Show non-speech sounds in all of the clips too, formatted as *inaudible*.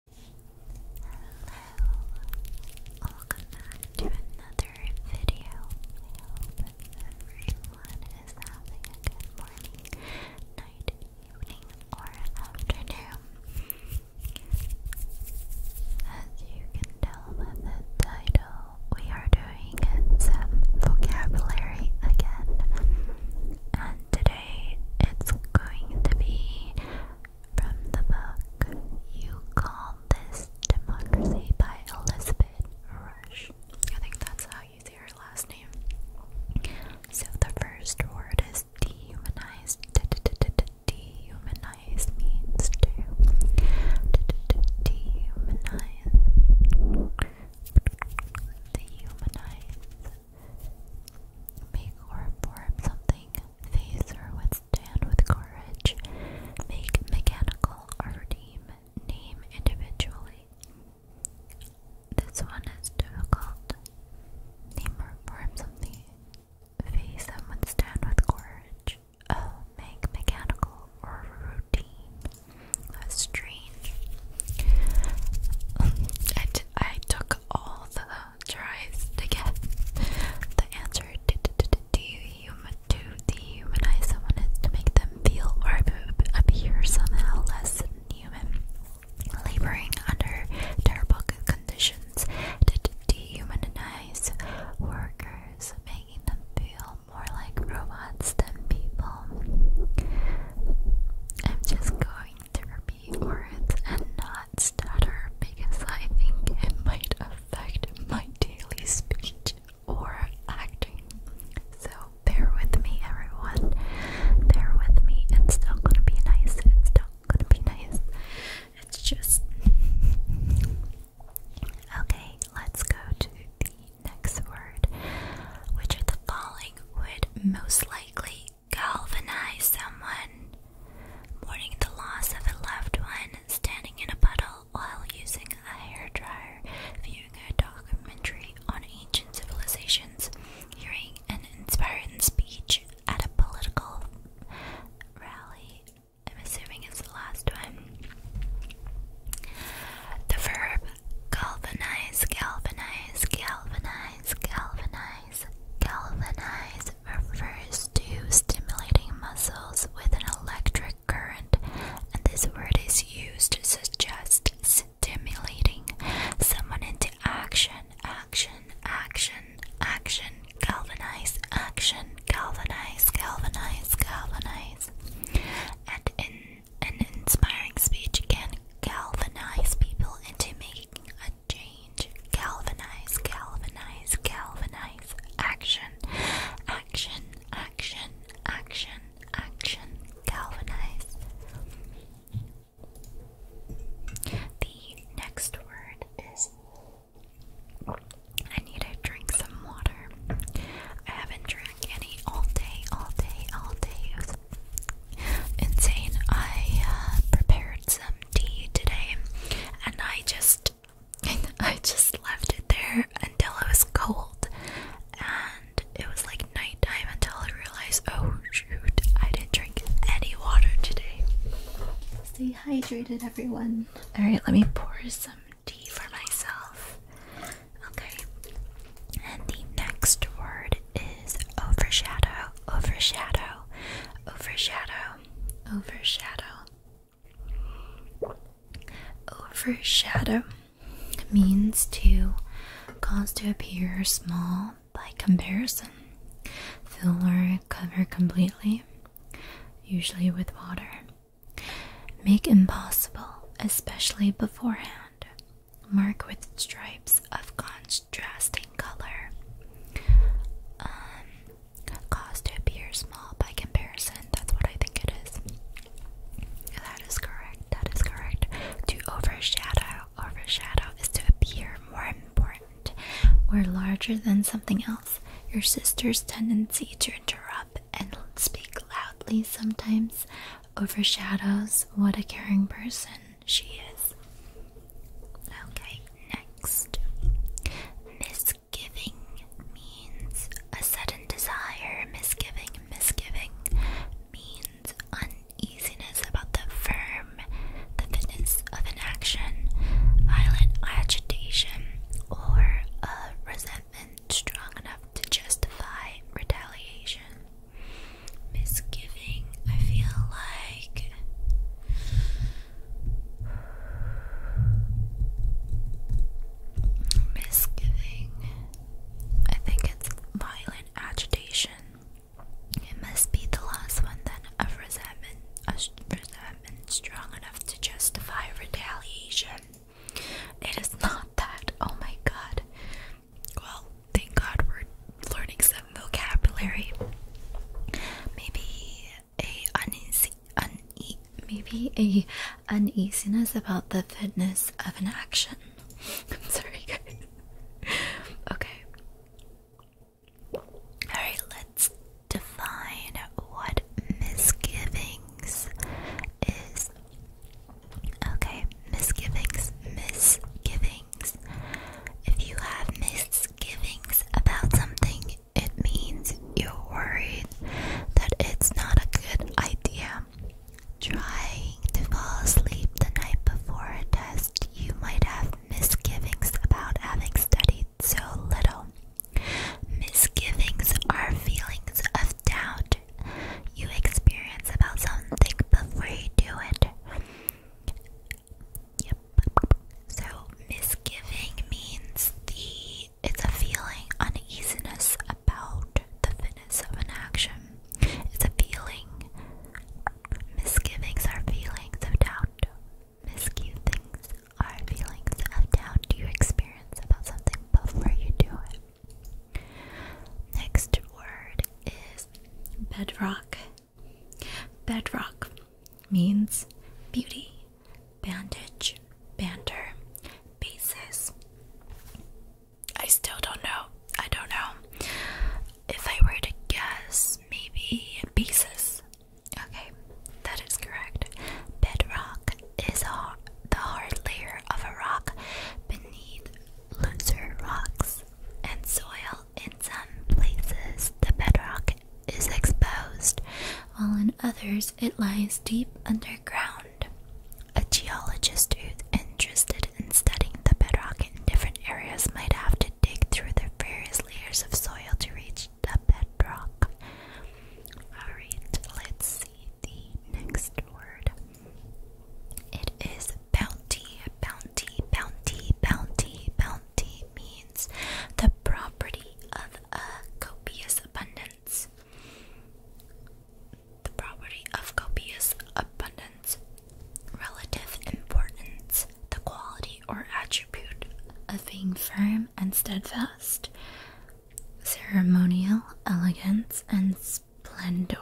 Hello, welcome back to another video. hope everyone is having a good morning, night, evening, or afternoon. As you can tell by the title, we are doing some vocabulary again. And today it's going to be from the book You Call This Democracy by Elizabeth Rush. I think that's how you say her last name. So the first word is dehumanized. Dehumanize means to dehumanize. Dehumanize. Make or form something, face or withstand with courage. Make mechanical or redeem, name individually. This one is difficult. Name or form something, face and withstand with courage. Oh, make mechanical or routine. That's strange. *laughs* I, I took all the tries to guess the answer to dehumanize someone is to make them feel or appear somehow less than human, laboring under terrible conditions to dehumanize workers, making them feel more like robots than people. I'm just going to repeat words and not glanced at her because I think it might affect my daily speech or acting. So bear with me, everyone. Bear with me. It's still gonna be nice. It's still gonna be nice. It's just. *laughs* okay, let's go to the next word, which of the following would most likely Galvanize someone. Mourning the loss of a loved one, standing in a puddle while using a hairdryer, viewing a documentary on ancient civilizations, hearing an inspiring speech at a political rally. I'm assuming it's the last one. The verb galvanize, galvanize, galvanize, galvanize. Galvanize. refers to stimulating muscles with an electric current, and this word is used to suggest stimulating someone into action, action, action, action, galvanize, action, galvanize, galvanize, galvanize. And in an inspiring speech can galvanize people into making a change, galvanize, galvanize, galvanize, action, action, action, action, action, galvanize. The next word is I need to drink some water. I haven't drank any all day, all day, all day insane. I uh, prepared some tea today, and I just, *laughs* I just left it there until it was cold, and it was like nighttime until I realized, oh shoot, I didn't drink any water today. Stay hydrated, everyone. All right, let me pour some tea for myself. Okay, and the next word is overshadow, overshadow, overshadow, overshadow. Overshadow means to cause to appear small by comparison. Fill or cover completely, usually with water. Make impossible, especially beforehand mark with stripes of contrasting color. Um, cause to appear small by comparison. That's what I think it is. That is correct. That is correct. To overshadow. Overshadow is to appear more important or larger than something else. Your sister's tendency to interrupt and speak loudly sometimes overshadows what a caring person she is. Okay, next. Misgiving means a sudden desire. Misgiving, misgiving means uneasiness about the firm, the fitness of an action, violent agitation, or a resentment strong enough to justify retaliation misgiving. I feel like misgiving. I think it's violent agitation. It must be the last one then of resentment, a resentment strong enough to justify retaliation. It is not that. Oh my god well, thank God we're learning some vocabulary. Maybe a uneasy, maybe a uneasiness about the fitness of an action. I'm *laughs* sorry, guys. okay. All right, let's define what misgivings is. Okay, misgivings, misgivings. If you have misgivings about something, it means you're worried that it's not a good idea. Trying to fall asleep the night before a test, you might have misgivings about having studied so little. Misgivings are feelings of doubt you experience about something before you do it. Yep. So misgiving means the it's a feeling uneasiness about the fitness of an action. It's a feeling. Misgivings are feelings of doubt. Misgivings are feelings of doubt you experience about something before you do it. Next word is bedrock. Bedrock means beauty, bandage, banter, basis. I still don't know. I don't know. If I were to guess, maybe basis. Okay, that is correct. Bedrock is a, the hard layer of a rock beneath looser rocks and soil in some places the bedrock is exposed, while in others it lies deep underground. A geologist who's interested in studying the bedrock in different areas might have to dig through the various layers of soil to reach the bedrock. Alright, let's see the next word. It is Bounty, bounty, bounty, bounty, bounty means the property of a copious abundance. The property of copious abundance. Relative importance, the quality or attribute of being firm and steadfast. Ceremonial elegance and splendor.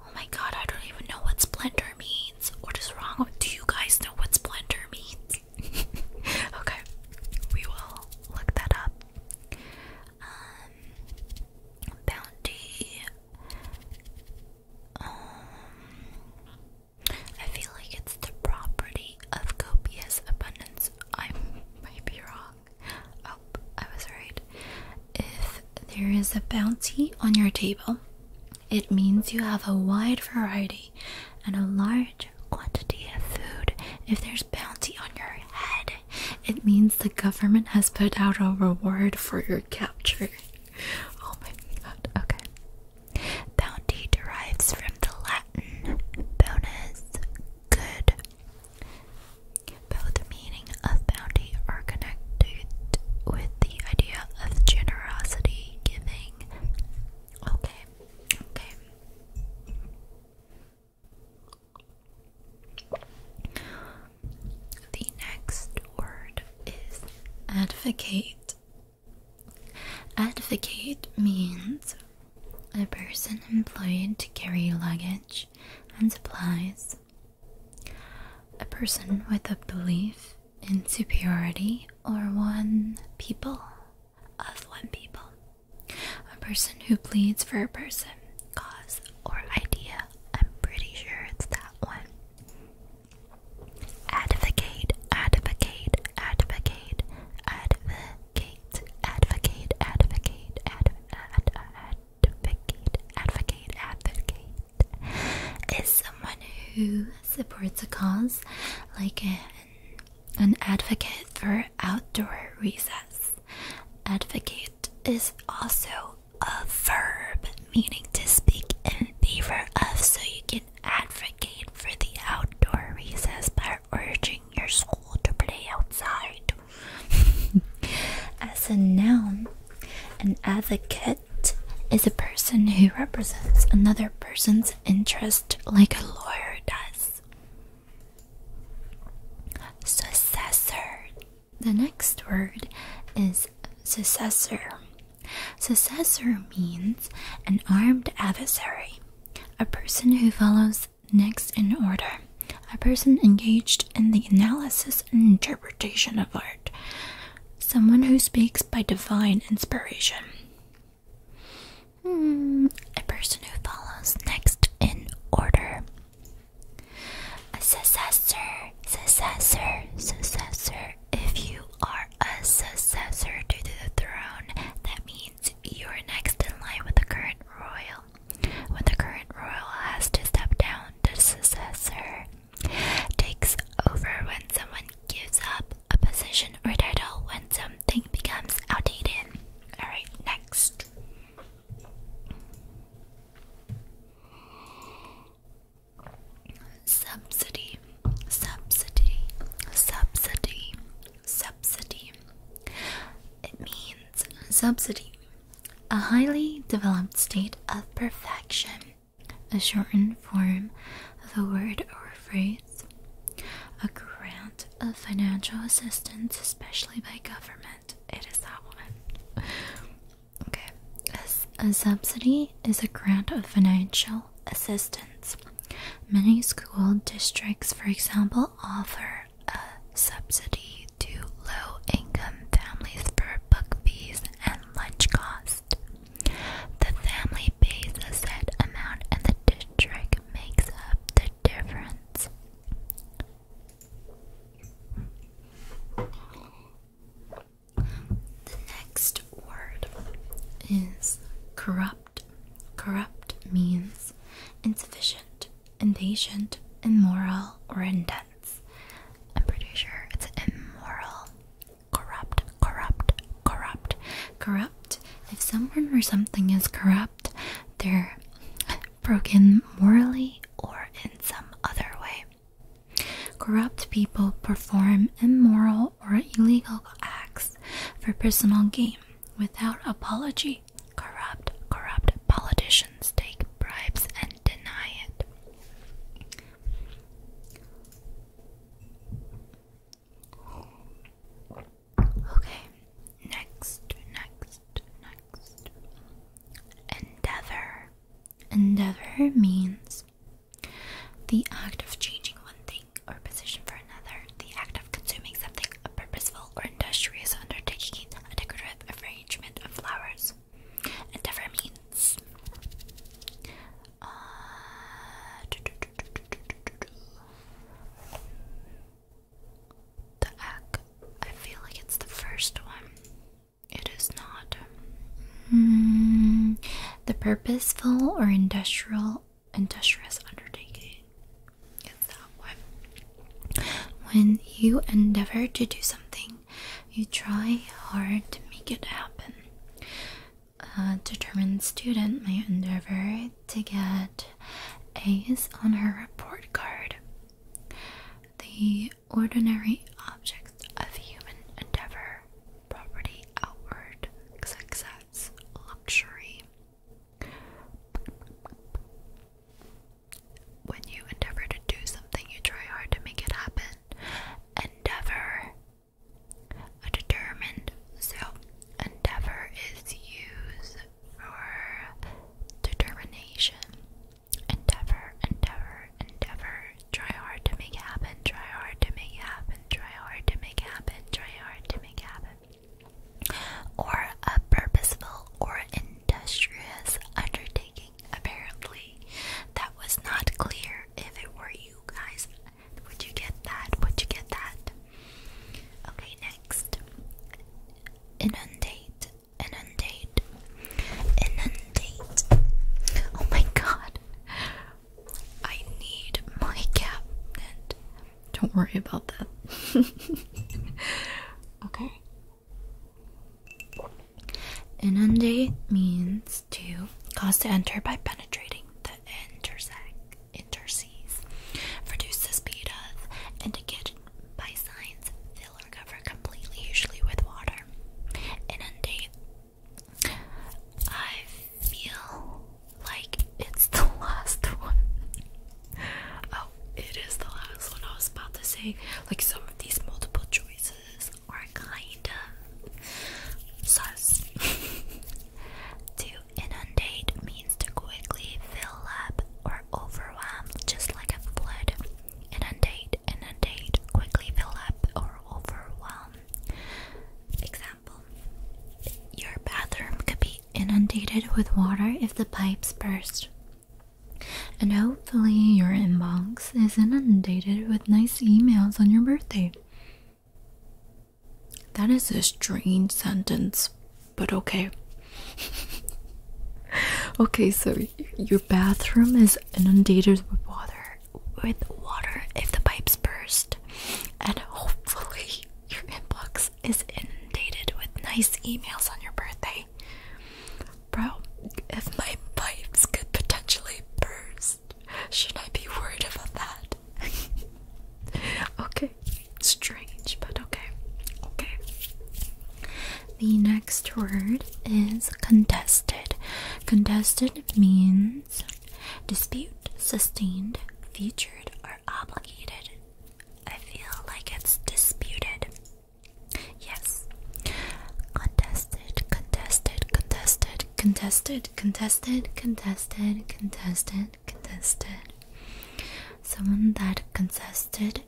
Oh my god, I don't even know what splendor means. What is wrong do you guys know what splendor means? *laughs* okay, we will look that up. Um, bounty. Um I feel like it's the property of copious abundance. I *laughs* might be wrong. Oh, I was right. If there is a bounty on your table, it means you have a wide variety and a large quantity of food. If there's bounty on your head, it means the government has put out a reward for your capture. Oh my god, okay. Bounty derives from the Latin bonus good. Both meaning of bounty are connected with the idea of generosity, giving. Okay, okay. The next word is advocate. Advocate means a person employed to carry luggage and supplies a person with a belief in superiority or one people of one people. A person who pleads for a person, cause, or idea. I'm pretty sure it's that one. Advocate, advocate, advocate, advocate, advocate, advocate, advocate, ad, ad, ad, advocate, advocate, advocate is someone who supports a cause, like an, an advocate for outdoor recess. Advocate is also a verb, meaning to speak in favor of, so you can advocate for the outdoor recess by urging your school to play outside. *laughs* As a noun, an advocate is a person who represents another person's interest like a lawyer does. Successor. The next word is successor. Successor means an armed adversary, a person who follows next in order, a person engaged in the analysis and interpretation of art someone who speaks by divine inspiration. Hmm, a person who follows next in order. A successor, successor, successor. If you are a successor to the throne, that means you're next in line with the current royal. When the current royal has to step down, the successor takes over when someone gives up a position or title when something becomes outdated. Alright, next. Subsidy, subsidy, subsidy, subsidy. It means subsidy a highly developed state of perfection, a shortened form of a word or phrase, a grant of financial assistance, especially by government. It is that one. Okay. A, a subsidy is a grant of financial assistance. Many school districts, for example, offer a subsidy to low income families for book fees and lunch cost, The family pays a set amount and the district makes up the difference. The next word is corrupt. Corrupt means insufficient, impatient, immoral, or indebted. I'm pretty sure it's immoral, corrupt, corrupt, corrupt, corrupt. If someone or something is corrupt, they're broken morally or in some other way. Corrupt people perform immoral or illegal acts for personal gain without apology. Corrupt, corrupt politicians take bribes and deny it. Okay, next, next, next. Endeavor. Endeavor means the act of changing one thing or position for another, the act of consuming something, a purposeful or industrious undertaking, a decorative arrangement of flowers endeavor means. Uh, the egg. feel like it's the first one. It is not. Hmm. the purposeful or industrial industrious undertaking. It's that one. When you endeavor to do something you try hard to make it happen. A determined student may endeavor to get A's on her report card. The ordinary objects of human endeavor, property, outward, success, luxury. When you endeavor to do something, you try hard to make it happen. Endeavor. A determined. So, endeavor is used for determination. Endeavor, endeavor, endeavor. Try hard to make it happen. Try hard to make it happen. Try hard to make it happen. Try hard to make it happen. Or a purposeful or industrious undertaking apparently. That was not clear if it were you guys. Would you get that? Would you get that? Okay, next. Inundate. Inundate. Inundate. Oh my god. I need my cabinet. Don't worry about that. *laughs* okay. Inundate means to cause to enter by penetrating the intersect interseas. Reduce the speed of and to get by signs fill or cover completely, usually with water. Inundate. I feel like it's the *laughs* last one. Oh, it is the last one I was about to say. Like some of these multiple choices are kinda sus. *laughs* to inundate means to quickly fill up or overwhelm, just like a flood. Inundate, inundate, quickly fill up or overwhelm. Example Your bathroom could be inundated with water if the pipes burst. And hopefully, your inbox is inundated with nice emails on your birthday. That is a strange sentence, but okay. *laughs* okay, so your bathroom is inundated with water, with water if the pipes burst, and hopefully your inbox is inundated with nice emails on your birthday. Bro, if my pipes could potentially burst, should I be worried about that? *laughs* okay, strange, but okay. Okay. The next word is contested. Contested means dispute, sustained, featured, or obligated. I feel like it's disputed. Yes. Contested, contested, contested, contested, contested, contested, contested, contested. Someone that contested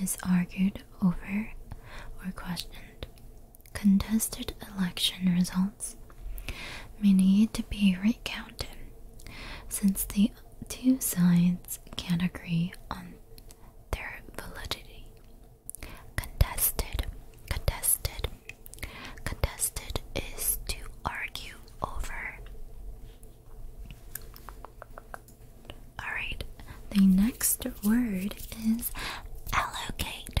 is argued over or questioned. Contested election results may need to be recounted since the two sides can't agree on their validity. Contested, contested, contested is to argue over. Alright, the next word is allocate.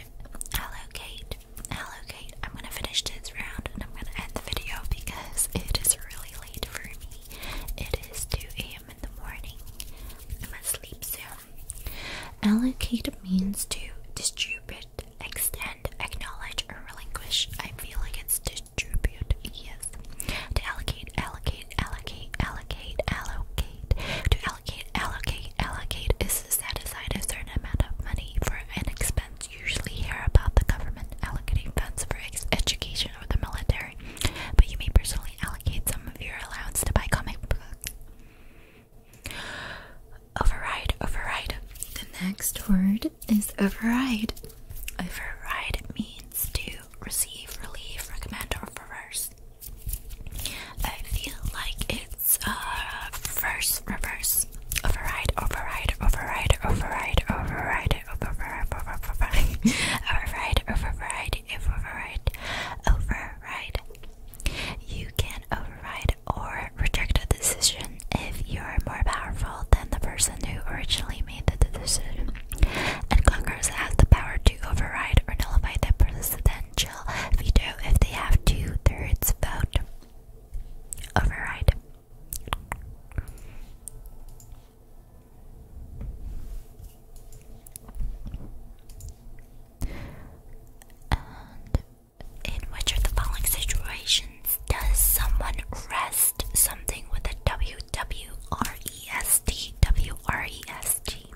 Allocate, allocate. I'm gonna finish this round and I'm gonna end the video because it is really late for me. It is 2 a.m in the morning. I'm asleep soon. Allocate means to distribute, extend, acknowledge, or relinquish. I feel like it's distribute. Yes. To allocate, allocate, allocate, allocate, allocate. To allocate, allocate, allocate is to set aside a certain amount of money for an expense. Usually hear about the government allocating funds for education or the military but you may personally allocate some of your allowance to buy comic books. Override, override. The next word is override. Override means to receive, relieve, recommend, or reverse. I feel like it's uh reverse, reverse. Override, override, override, override, override override, override, override, override, override, You can override or reject a decision if you are more powerful than the person who originally made the decision. And Congress has the power to override or nullify the presidential veto if they have two thirds vote. Override in which of the following situations does someone rest something with a W W R E S T W R E S T?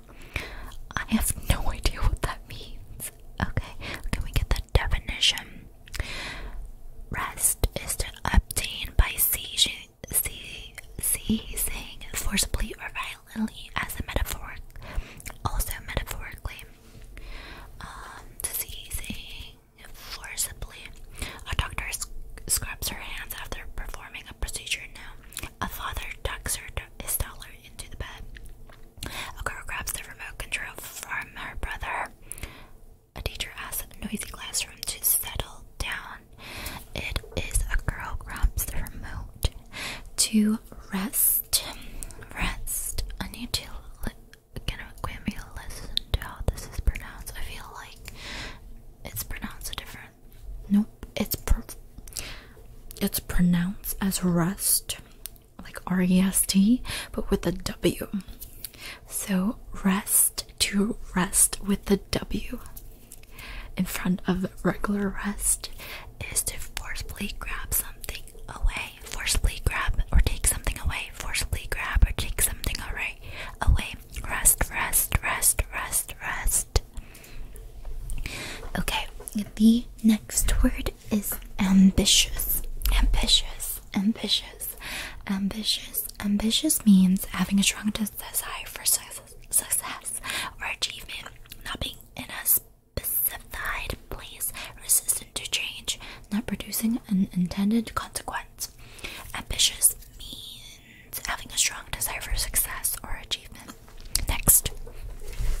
I have no idea what that means. Okay, can we get the definition? Rest is to obtain by seizing seizing forcibly or violently as a metaphor, also metaphorically. Um, seizing forcibly. A doctor scrubs her hands after performing a procedure. Now, a father tucks her his dollar into the bed. A girl grabs the remote control from her brother. A teacher asks a noisy classroom to settle down. It is a girl grabs the remote to rest. Rest. I need to can grant me a listen to how this is pronounced. I feel like it's pronounced different. Nope, it's it's pronounced as rest, like R E S T, but with a W. So rest to rest with the W in front of regular rest is to forcibly grab something away, forcibly grab or take something away, forcibly grab or take something away, away. Rest, rest, rest, rest, rest. Okay, the next word is ambitious. Ambitious, ambitious, ambitious. Ambitious means having a strong desire desire for success or achievement, not being in a specified place, resistant to change, not producing an intended consequence. Ambitious means having a strong desire for success or achievement. Next,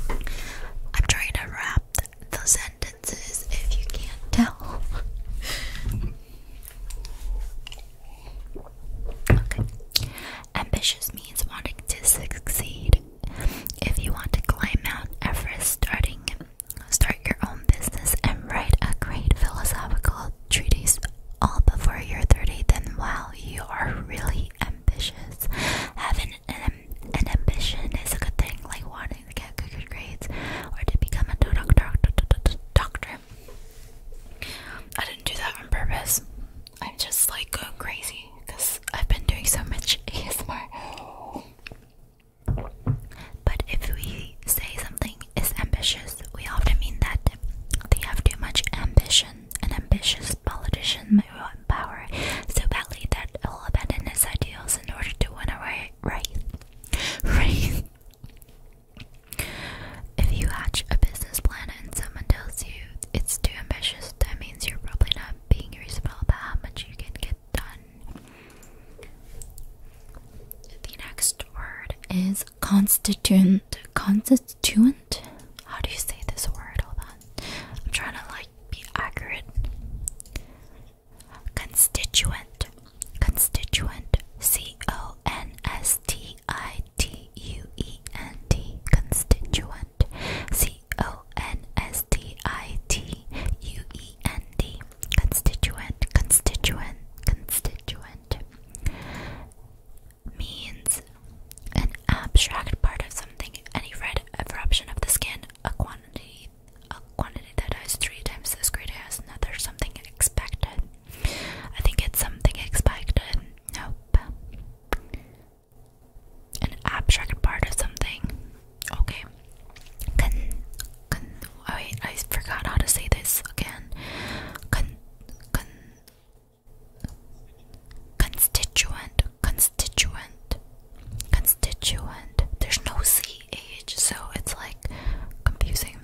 I'm trying to wrap the sentences if you can't tell. *laughs* Okay. Ambitious means wanting to succeed. If you want to climb Mount Everest, starting start your own business and write a great philosophical treatise all before you're 30, then wow, you are really ambitious. Having an, an ambition is a good thing, like wanting to get good grades or to become a doctor. doctor I didn't do that on purpose. I'm just like going crazy because I've been doing so much ASMR. *laughs* But if we say something is ambitious, we often mean that they have too much ambition. An ambitious politician may want power so badly that he'll abandon his ideals in order to win a right. If you hatch a business plan and someone tells you it's too ambitious, that means you're probably not being reasonable about how much you can get done. The next word is constituent. Constituent? How do you say this word? Hold on. I'm trying to like be accurate. Constituent. Constituent C O N S T I T U E N T Constituent C O N S T I T U E N T Constituent Constituent Constituent means an abstract part of something, any red eruption of the skin, a quantity a quantity that has three times as great as another something expected. I think it's something expected. Nope. An abstract part of something. Okay. Can can oh wait, I forgot how to say this again. Con con constituent constituent constituent. There's no C H so it's like confusing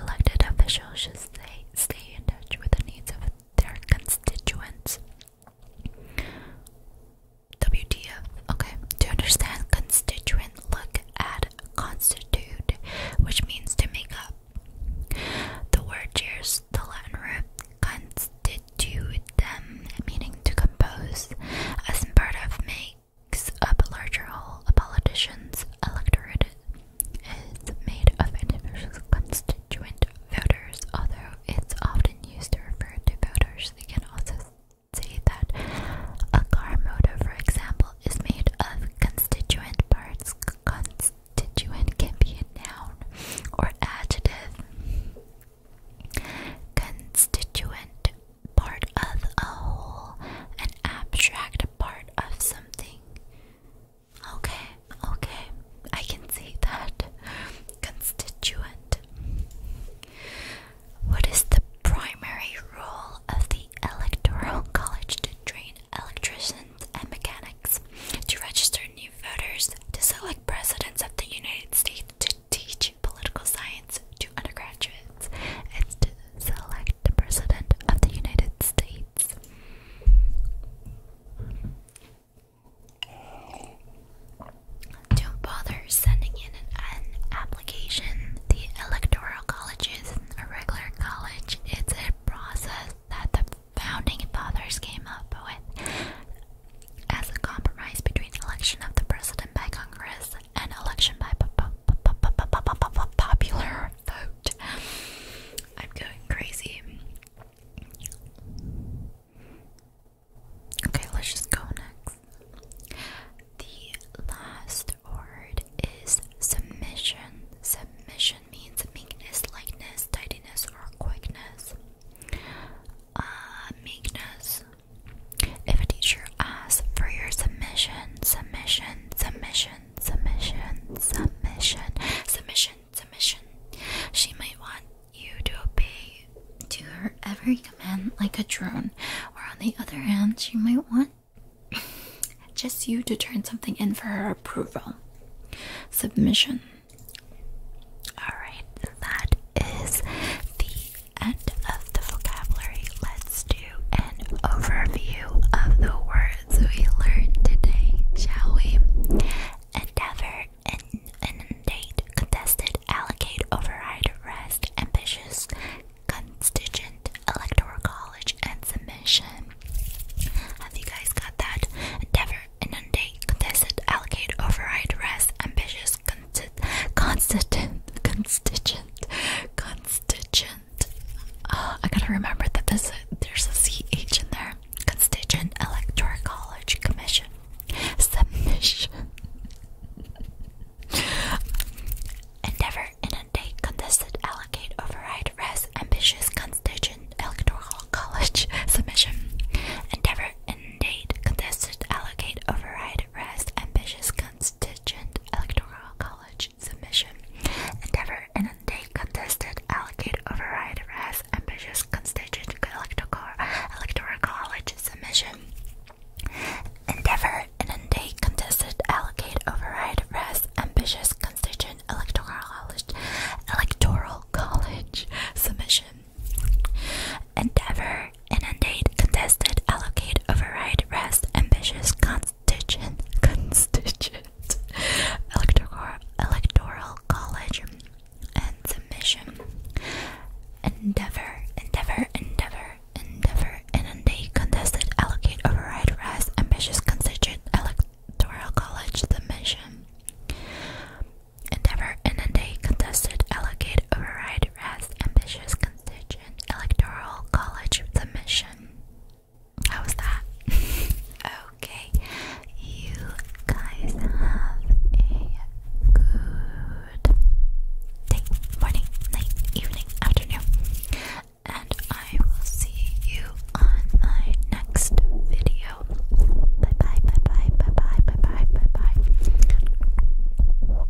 Elected officials should stay, stay in touch with the needs of their constituents. WTF. Okay. To understand constituent, look at constitute, which means to make up. The word shares the Latin root constitute meaning to compose, as part of make, a larger whole, a politician's electorate is made of individual constituent voters. Although it's often used to refer to voters, they can also say that a car motor, for example, is made of constituent parts. Constituent can be a noun or adjective. Constituent part of a whole, an abstract part of something. Okay, okay, I can see that. *laughs* Constituent. What is the primary role of the Electoral College to train electricians and mechanics, to register new voters, to select presidents of the United States, to teach political science, to undergraduates. and select the President of the United States. Don't bother sending in an, application. The Electoral College is a regular college, it's a process that the Founding Fathers came up with as a compromise between election of the President by Congress an election by popular vote. I'm going crazy. Okay, let's just go next. The last word is submission. Submission means meekness, lightness, tidiness, or quickness. Uh, meekness. If a teacher asks for your submission, submission submission, submission, submission, submission, submission. She might want you to obey to her every command like a drone, or on the other hand, she might want *laughs* just you to turn something in for her approval. Submission. Alright, that is the end of the vocabulary. Let's do an overview of the words we learned today, shall we? Endeavor, in, inundate, contested, allocate, override, rest, ambitious, constituent, electoral college, and submission. Have you guys got that? Endeavor, inundate, contested, allocate, override, rest, ambitious, constituent, constituent, constituent, uh, I gotta remember that there's a CH in there. Constituent Electoral College Commission. Submission. Endeavor, inundate, contested, allocate, override, res, ambitious, constituent, electoral college, submission. Endeavor, inundate, contested, allocate, override, res, ambitious, constituent, electoral college submission. Endeavor and they contested allocate override rest ambitious constituent electoral, electoral college submission. Endeavor and they contested allocate override as ambitious constituent electoral college inundate contested allocate override rest ambitious con constituent, constituent electoral, electoral college and submission. Endeavor, endeavor, endeavor, endeavor, and they contested, allocate, override, rest, ambitious constituent electoral college submission. Endeavor, and they contested, allocate, override, rest, ambitious constituent contingent electoral college submission. How was that? *laughs* okay, you guys have a good day, morning, night, evening, afternoon, and I will see you on my next video. bye, bye bye, bye bye, bye bye, bye bye.